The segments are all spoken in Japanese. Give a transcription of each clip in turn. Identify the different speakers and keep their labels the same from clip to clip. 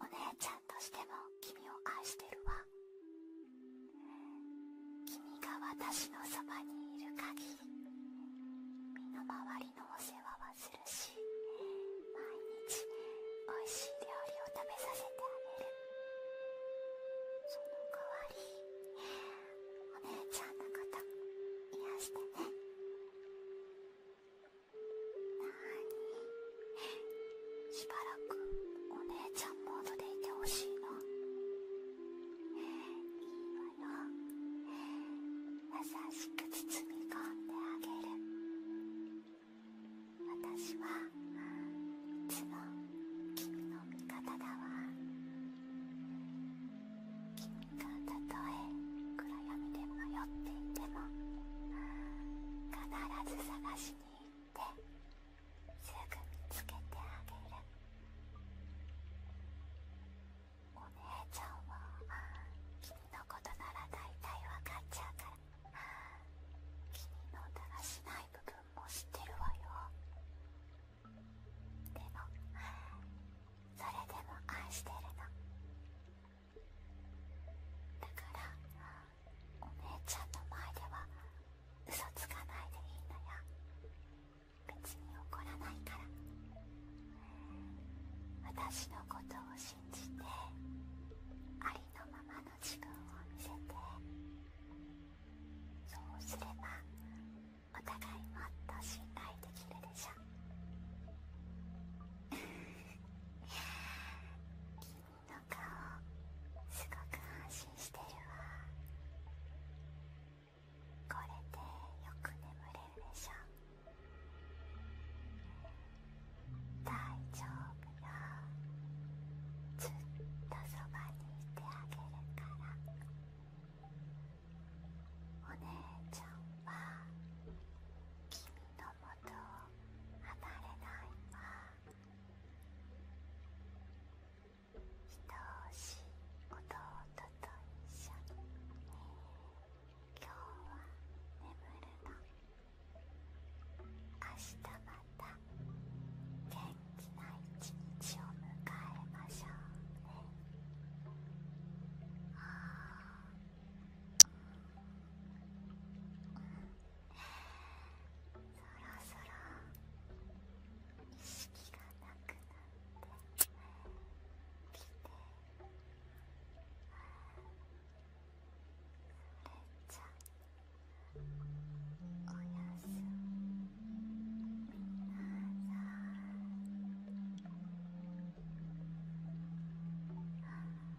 Speaker 1: お姉ちゃんとしても君を愛してるわ
Speaker 2: 君が私のそばにいる限り身の回りのお世話はするし毎日おいしい料理を食べさせてあげるその代
Speaker 1: わりお姉ちゃんのこと癒してねにしばらくお姉ちゃんモードでいてほしいのいいわよ優しく包み込んであげる私はいつも君の味方だわ君がたとえ暗悩みで迷っていても必ず探しに行ってすぐ見つけてあげる
Speaker 2: お姉ちゃんは君のことなら大
Speaker 1: 体分かっちゃうから君のだらしない部分も知ってるわよでもそれでも愛してるのだからお姉ちゃんの前では嘘つかないでいいのよ別に怒らないから私のことを信じてありのままの自分を見せてそうすればおがいもっと信頼できるでしょ君の顔すごく安心してるわこれでよく眠れるでしょ大丈夫よずっとそばにいてあげるからお姉ちゃんは君の元を離れないわ愛おしい弟と一緒に今日は眠るの明日また元気な一日を迎えましょうねそそろろ意識がなくなってきてそれちゃおやすみなさ
Speaker 2: い。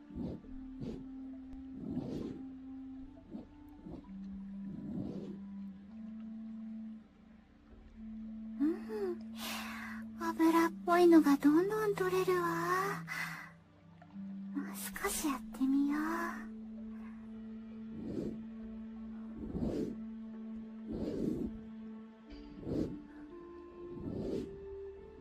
Speaker 2: うん油っぽいのがどんどん取れるわもう少しやってみよううん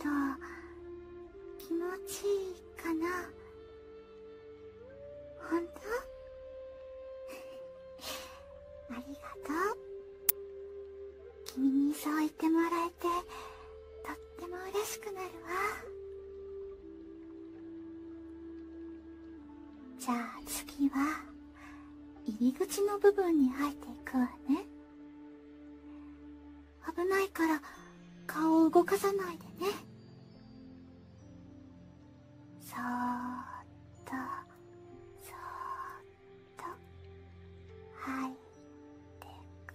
Speaker 2: と気持ちいいかな本当 ありがとう君にそう言ってもらえてとっても嬉しくなるわじゃあ次は入り口の部分に入っていくわね危ないから顔を動かさないでねそっと
Speaker 1: そっと吐いてく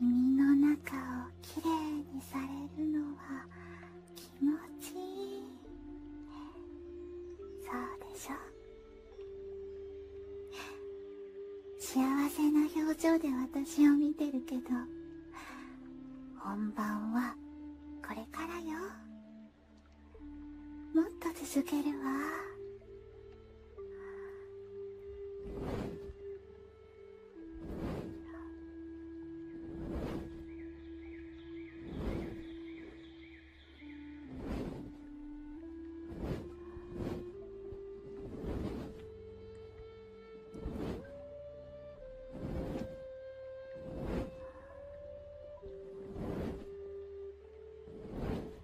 Speaker 1: 耳の中をきれいにされるのは気
Speaker 2: 持ちいいそうでしょ幸せな表情で私を見てるけど本番はこれからよもっと続けるわ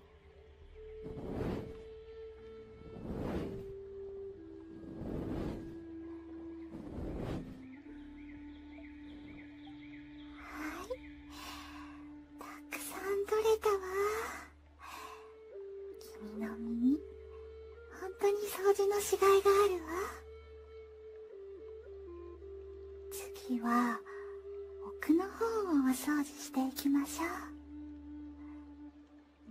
Speaker 2: はい。たくさん取れたわ君の耳本当に掃除のしがいがあるわ次はは奥の方をお掃除していきましょ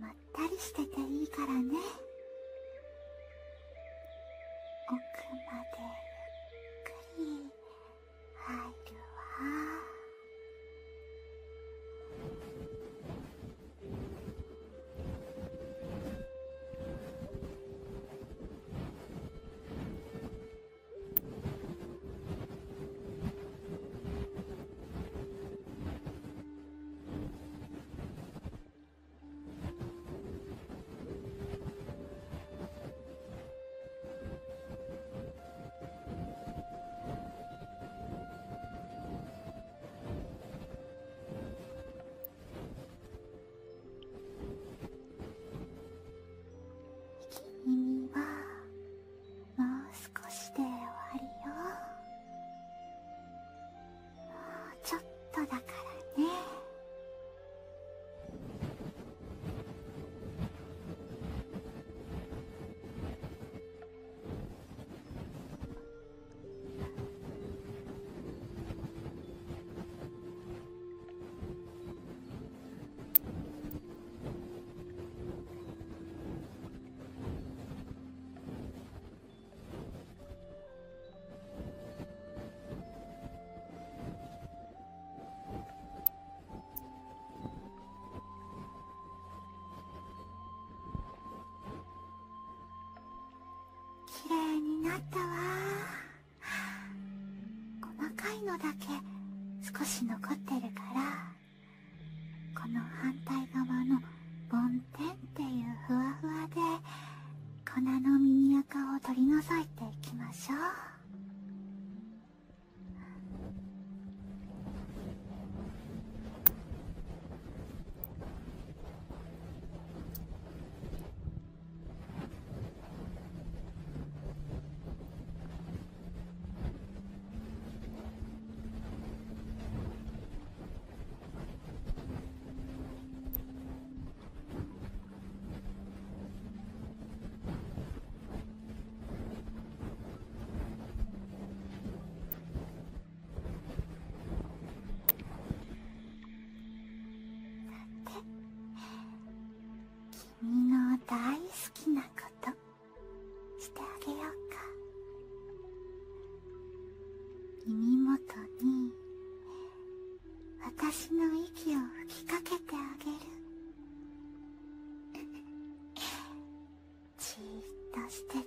Speaker 2: うまったりしてていいからね
Speaker 1: 奥までゆっくり入るわ君はもう少しで終わりよもうちょっとだからね
Speaker 2: 綺麗になったわ細かいのだけ少し残ってるからこの反対側の梵天っていうふわふわで粉の耳垢を取り除いていきましょう君の大好きなことしてあげようか耳元に私の息を吹きかけてあげる
Speaker 1: じっとしてて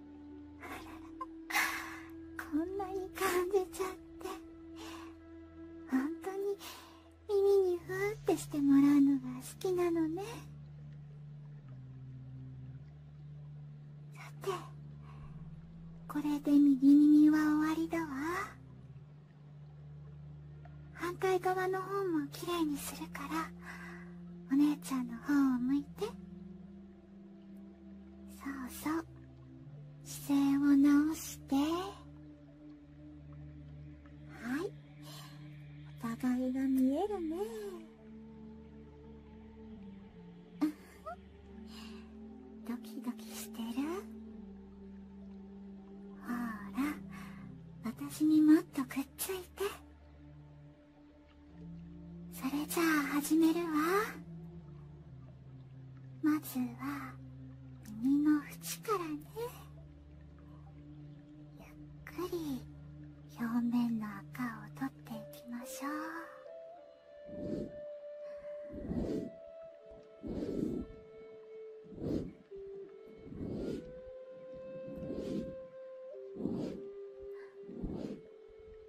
Speaker 2: あらら、こんなに感じちゃって本当に耳にふーってしてもらうのが好きなのねさてこれで右耳は終わりだわ反対側の方もきれいにするからお姉ちゃんの方を向いて。そうそう姿勢を直してはいお互いが見えるね ドキドキしてるほら私にもっとくっついてそれじゃあ始めるわまずは耳の縁からねゆっくり表面の赤を取っていきましょう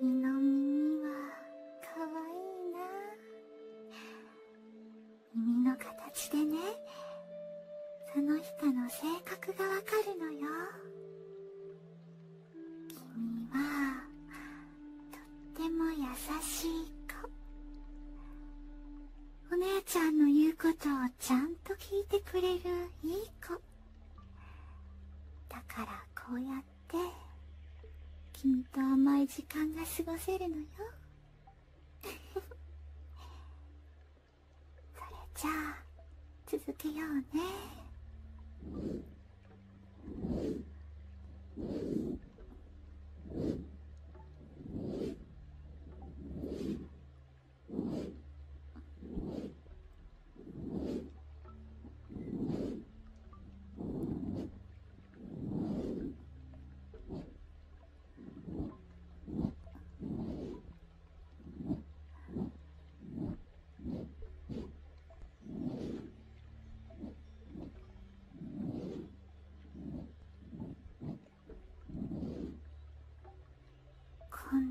Speaker 2: 君の耳はかわいいな耳の形でねその人の性格がわかるのよ君はとっても優しい子お姉ちゃんの言うことをちゃんと聞いてくれるいい子だからこうやっって君と甘い時間が過ごせるのよ それじゃあ続けようね 今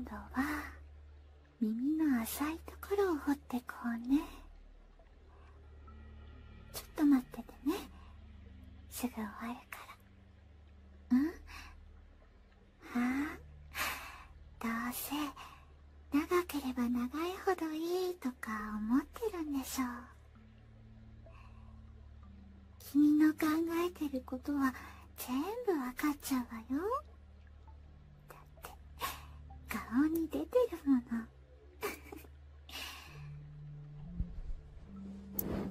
Speaker 2: 度は耳の浅いところを掘ってこうねちょっと待っててねすぐ終わるからうんはあどうせ長ければ長いほどいいとか思ってるんでしょう君の考えてることは全部わかっちゃうわよだって顔に出てるものあ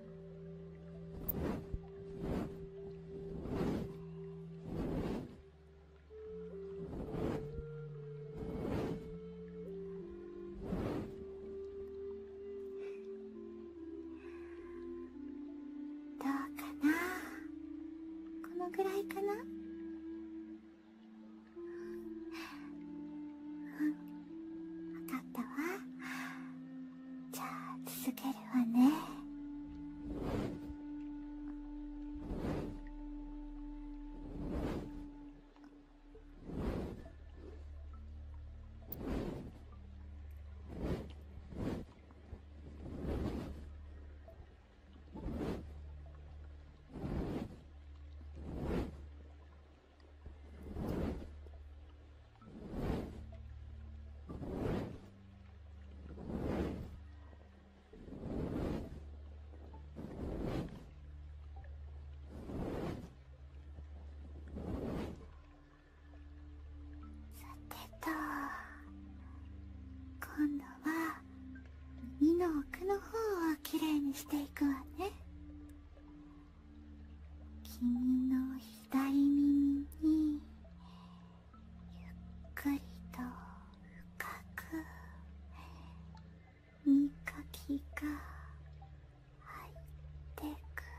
Speaker 2: どうかなこのぐらいかな分かったわじゃあ続けるわね
Speaker 1: さてと
Speaker 2: 今度は耳の奥の方をきれいにしていくわね。君の左耳にゆっくりと深く耳かきが入ってく「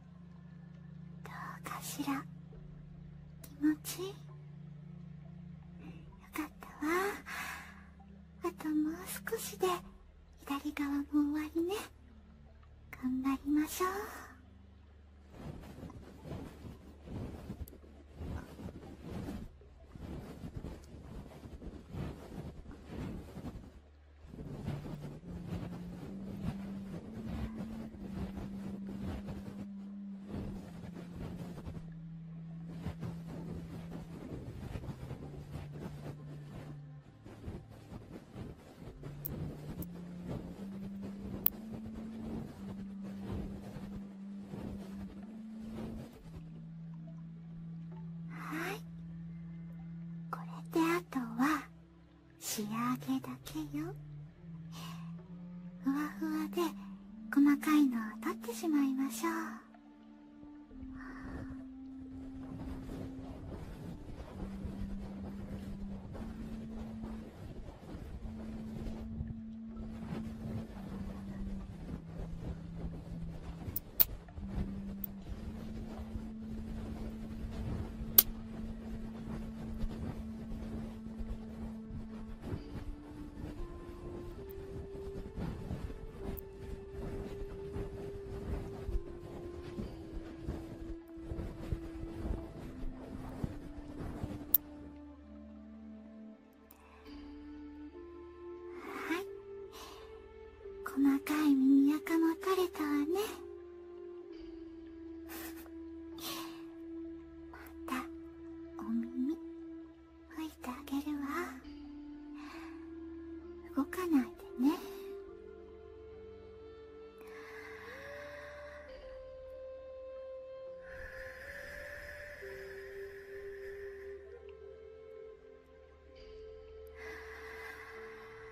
Speaker 2: どうかしら気持ちいいよかったわあともう少しで左側も終わりね頑張りましょうはいこれであとは仕上げだけよふわふわで細かいのを取ってしまいましょう細かい耳垢も取れたわね。またお耳拭いてあげるわ動かないでねあ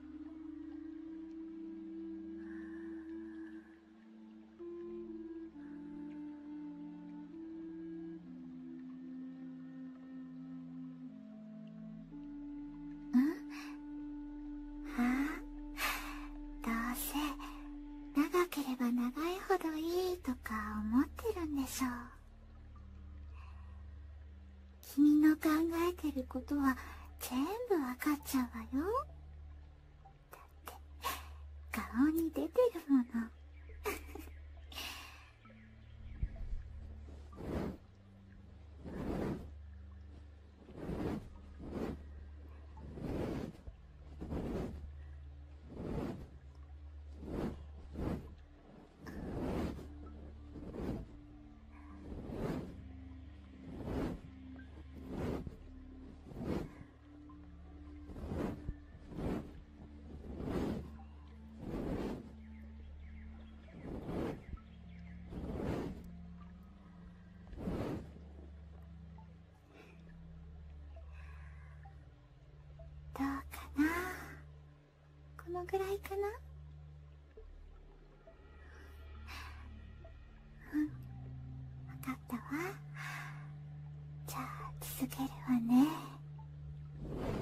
Speaker 2: んどどうせ長長ければいいいほ君の考えてることは全部わかっちゃうわよだって顔に出てるもの どうかなこのぐらいかなうん
Speaker 1: 分かったわじゃあ続けるわねうん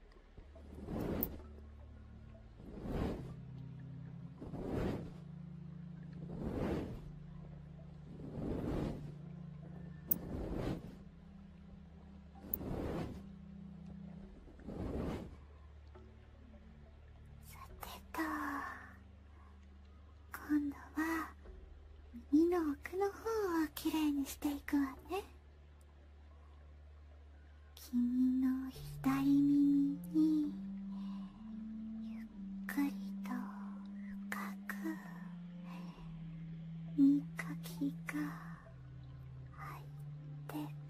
Speaker 1: さてと
Speaker 2: 今度は耳の奥の方をきれいにしていくわね。君の左耳にゆっくりと深く
Speaker 1: みかきが入ってく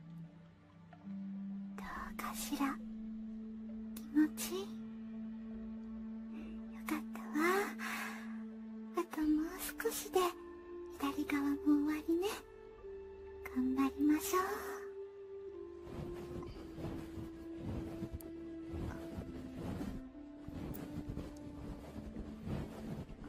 Speaker 2: どうかしら気持ちいいよかったわあともう少しで左側も終わりね頑張りましょうあ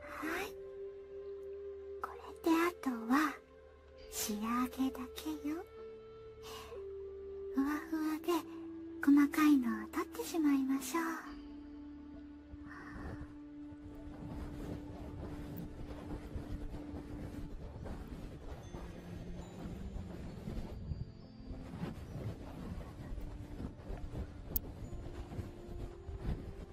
Speaker 2: はいこれであとは仕上げだけよふわふわで細かいのを取ってしまいましょう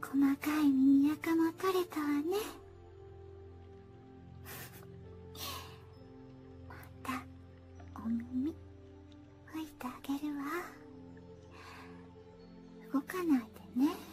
Speaker 2: 細かい耳垢も取れたわねまたお耳拭いてあげるわ動かないでねふぅ。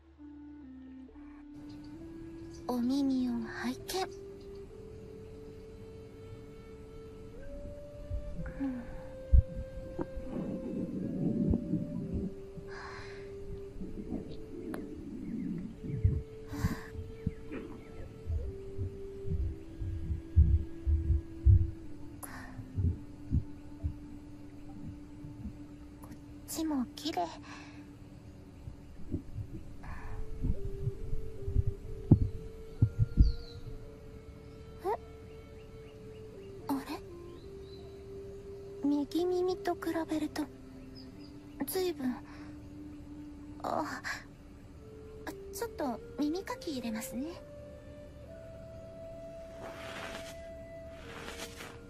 Speaker 2: お耳を拝見、うん、こっちも綺麗えっ。あれ右耳と比べるとずいぶんあちょっと耳かき入れますね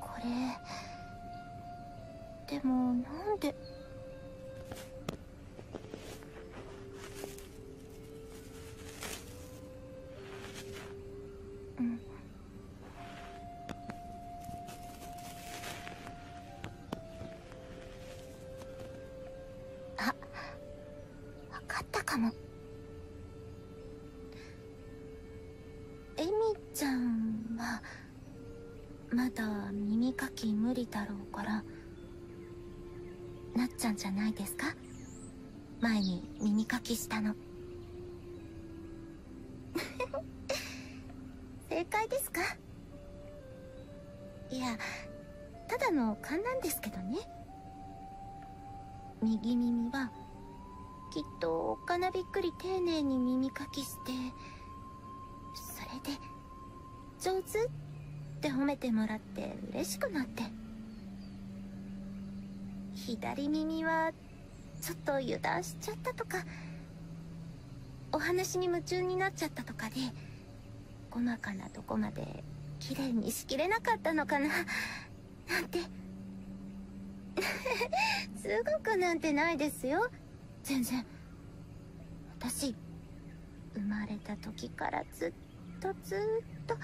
Speaker 2: これでもなんで分かったかもエミちゃんはまだ耳かき無理だろうからなっちゃんじゃないですか前に耳かきしたの 正解ですかいやただの勘なんですけどね右耳はきっとおっびっくり丁寧に耳かきしてそれで上手って褒めてもらって嬉しくなって左耳はちょっと油断しちゃったとかお話に夢中になっちゃったとかで細かなとこまで綺麗にしきれなかったのかななんて すごくなんてないですよ全然私生まれた時からずっとずっと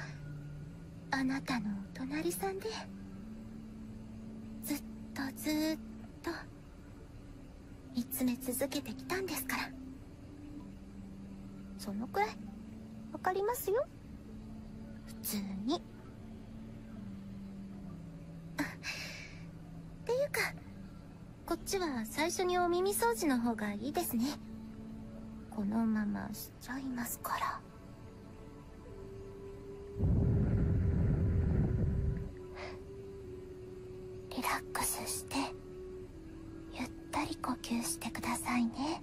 Speaker 2: あなたのお隣さんでずっとずっと見つめ続けてきたんですからそのくらいわかりますよ普通にっていうかこっちは最初にお耳掃除の方がいいですねこのまましちゃいますからリラックスしてゆったり呼吸してくださいね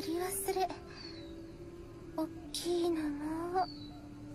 Speaker 2: 取り忘れおっきいのも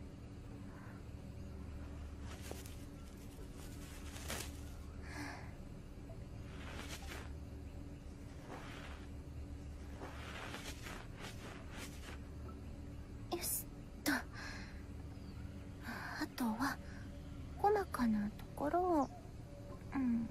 Speaker 2: はあよしっとあとは細かなところをうんうん。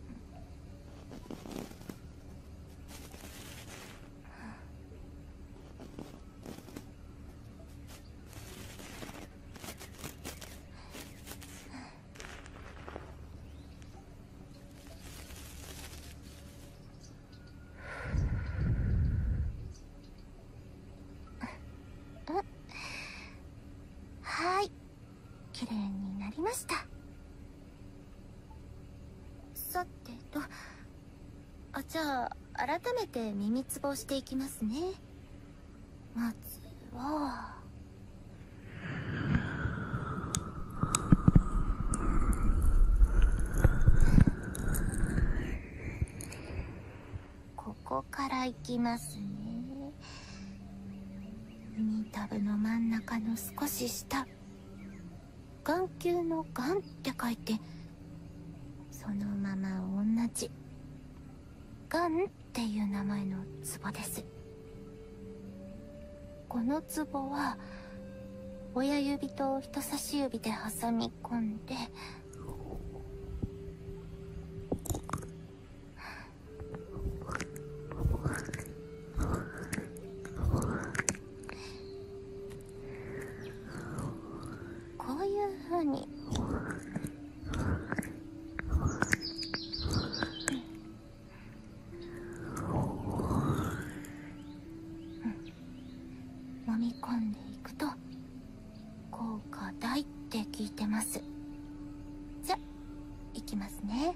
Speaker 2: はい、きれいになりましたさてとあじゃあ改めて耳つぼしていきますねまずはここからいきますね耳たぶの真ん中の少し下眼球の眼って書いてそのまま同じ眼っていう名前のツボですこの壺は親指と人差し指で挟み込んでこういうふうにうん、飲み込んでいくと効果大って聞いてますじゃいきますね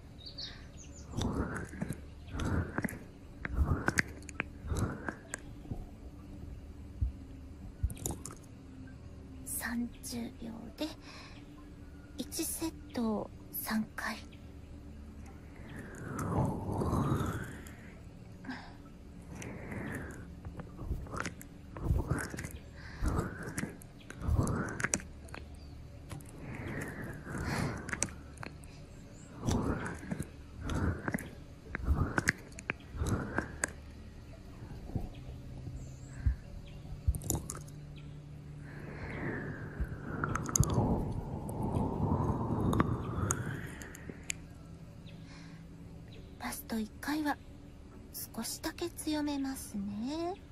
Speaker 2: 30秒で1セットを3回ラスト1回は少しだけ強めますね。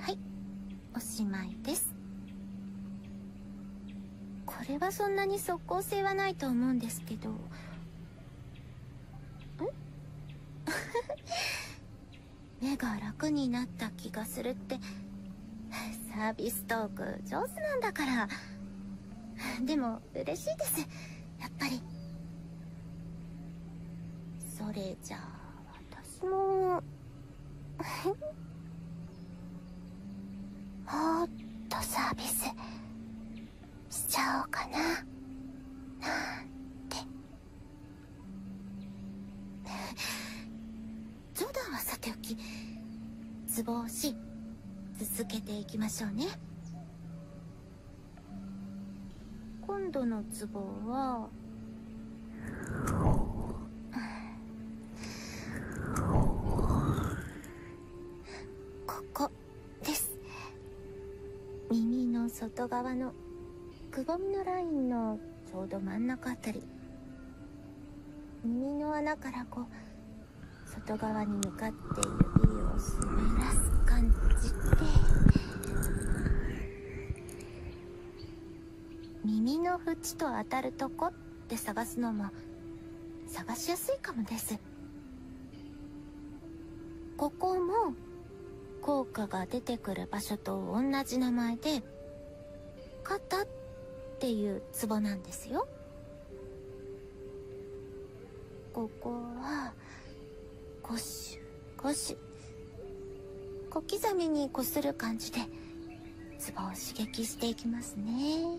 Speaker 2: はいおしまいですこれはそんなに即効性はないと思うんですけどん。目が楽になった気がするってサービストーク上手なんだからでも嬉しいですやっぱりそれじゃあ私も もっとサービスしちゃおうかななんて。冗談はさておきツボ押し続けていきましょうね今度のツボはここです耳の外側のくぼみのラインのちょうど真ん中あたり耳の穴からこう外側に向かって指を滑らす感じで耳の縁と当たるとこって探すのも探しやすいかもですここも効果が出てくる場所と同じ名前で肩っていうツボなんですよここはゴシュゴシュ小刻みにこする感じでツボを刺激していきますね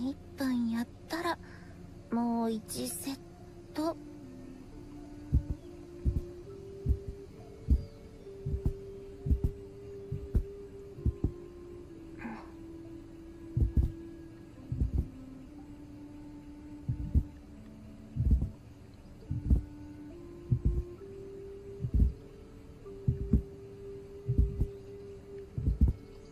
Speaker 2: 一分やったらもう1セット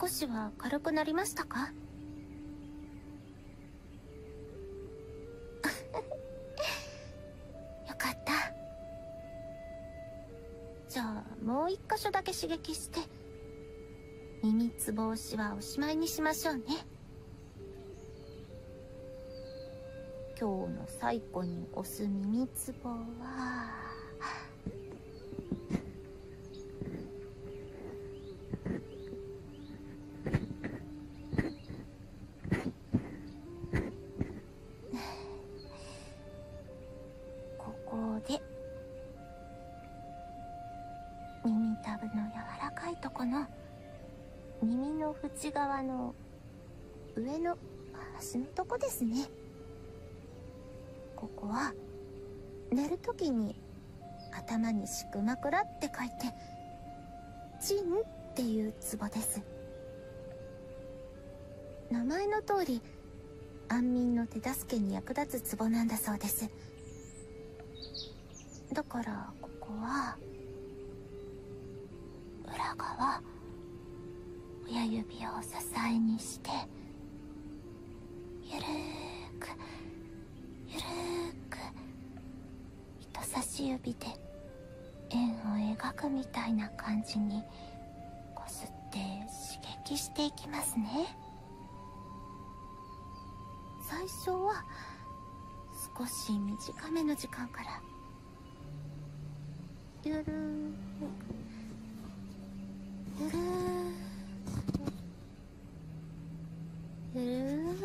Speaker 2: 少しは軽くなりましたか よかったじゃあもう一箇所だけ刺激して耳つぼ押しはおしまいにしましょうね今日の最後に押す耳つぼは。ここで耳たぶの柔らかいとこの耳の縁側の上の端のとこですねここは寝るときに頭にしくまくらって書いてちんっていうツボです名前の通り安眠の手助けに役立つツボなんだそうですだからここは裏側親指を支えにしてゆるーくゆるーく人差し指で円を描くみたいな感じにこすって刺激していきますね最初は少し短めの時間からゆるゆる
Speaker 1: ゆるーく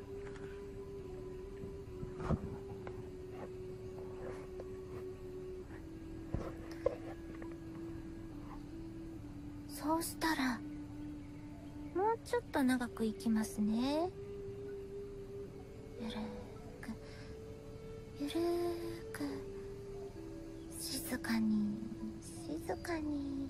Speaker 2: そうしたらもうちょっと長くいきますねゆるくゆるく静かに静かに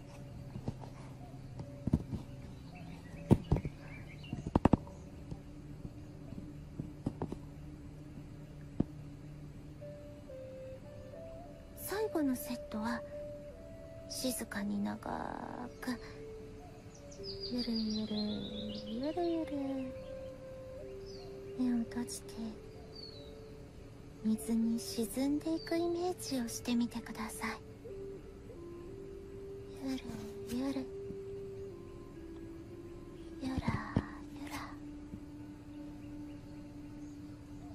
Speaker 2: 最後のセットは静かに長くゆるゆるゆるゆる目を閉じて水に沈んでいくイメージをしてみてくださいゆるゆるゆらゆら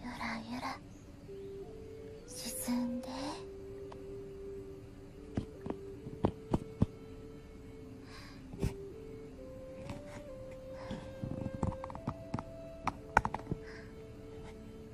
Speaker 2: ゆらゆら
Speaker 1: 沈んで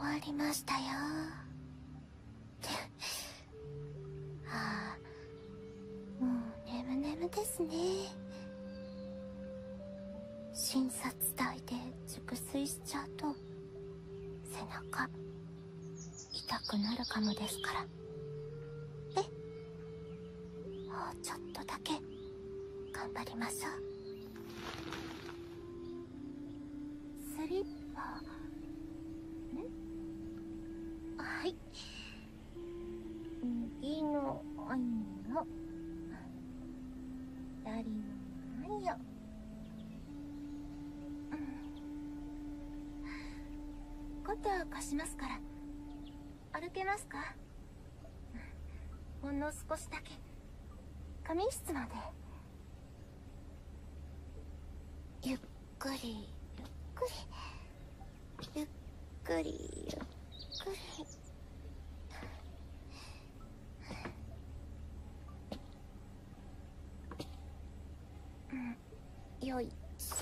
Speaker 2: 終わりましたよ ああもう眠眠ですね診察台で熟睡しちゃうと背中痛くなるかもですからえもうちょっとだけ頑張りましょうスリッパんはい右の愛の左の愛ようん、肩貸しますから歩けますかほんの少しだけ仮眠室までゆっくりゆっくりゆっくりゆっくりうんよいしょ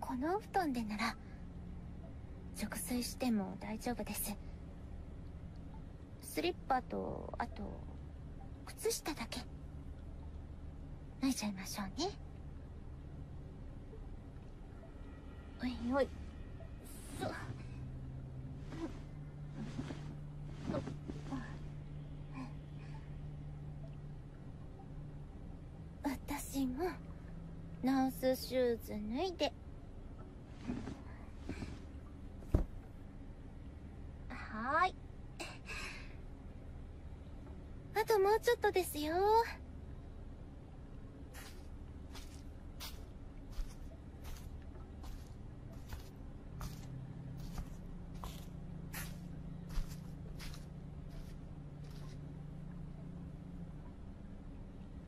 Speaker 2: この布団でなら熟睡しても大丈夫ですスリッパとあと靴下だけ脱いちゃいましょうねおいおいそっ私もナースシューズ脱いではいあともうちょっとですよ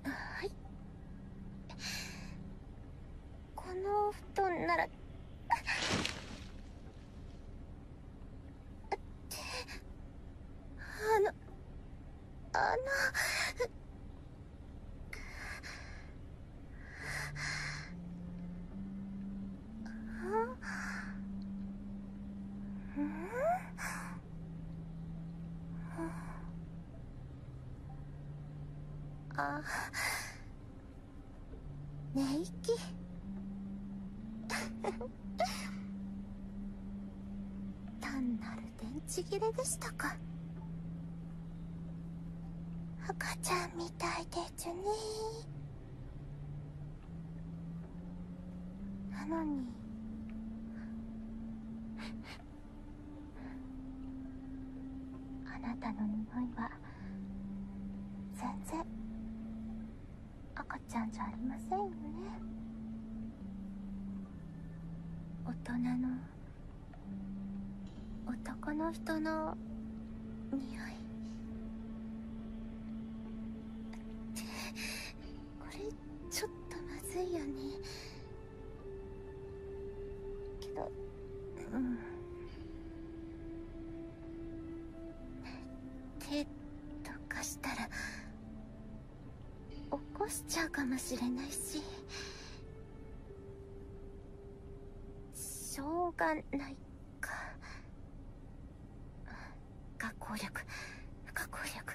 Speaker 2: はいこのお布団ならってあのあのあんああ寝息 単なる電池切れでしたか赤ちゃんみたいでちゅねなのにあなたの匂いは全然赤ちゃんじゃありませんよね大人の男の人の匂いこれちょっとまずいよねけどうん手とかしたら起こしちゃうかもしれないししょうがないか学校力学校力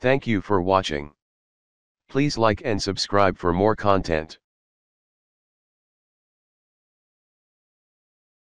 Speaker 1: Thank you for watching. Please like and subscribe for more content.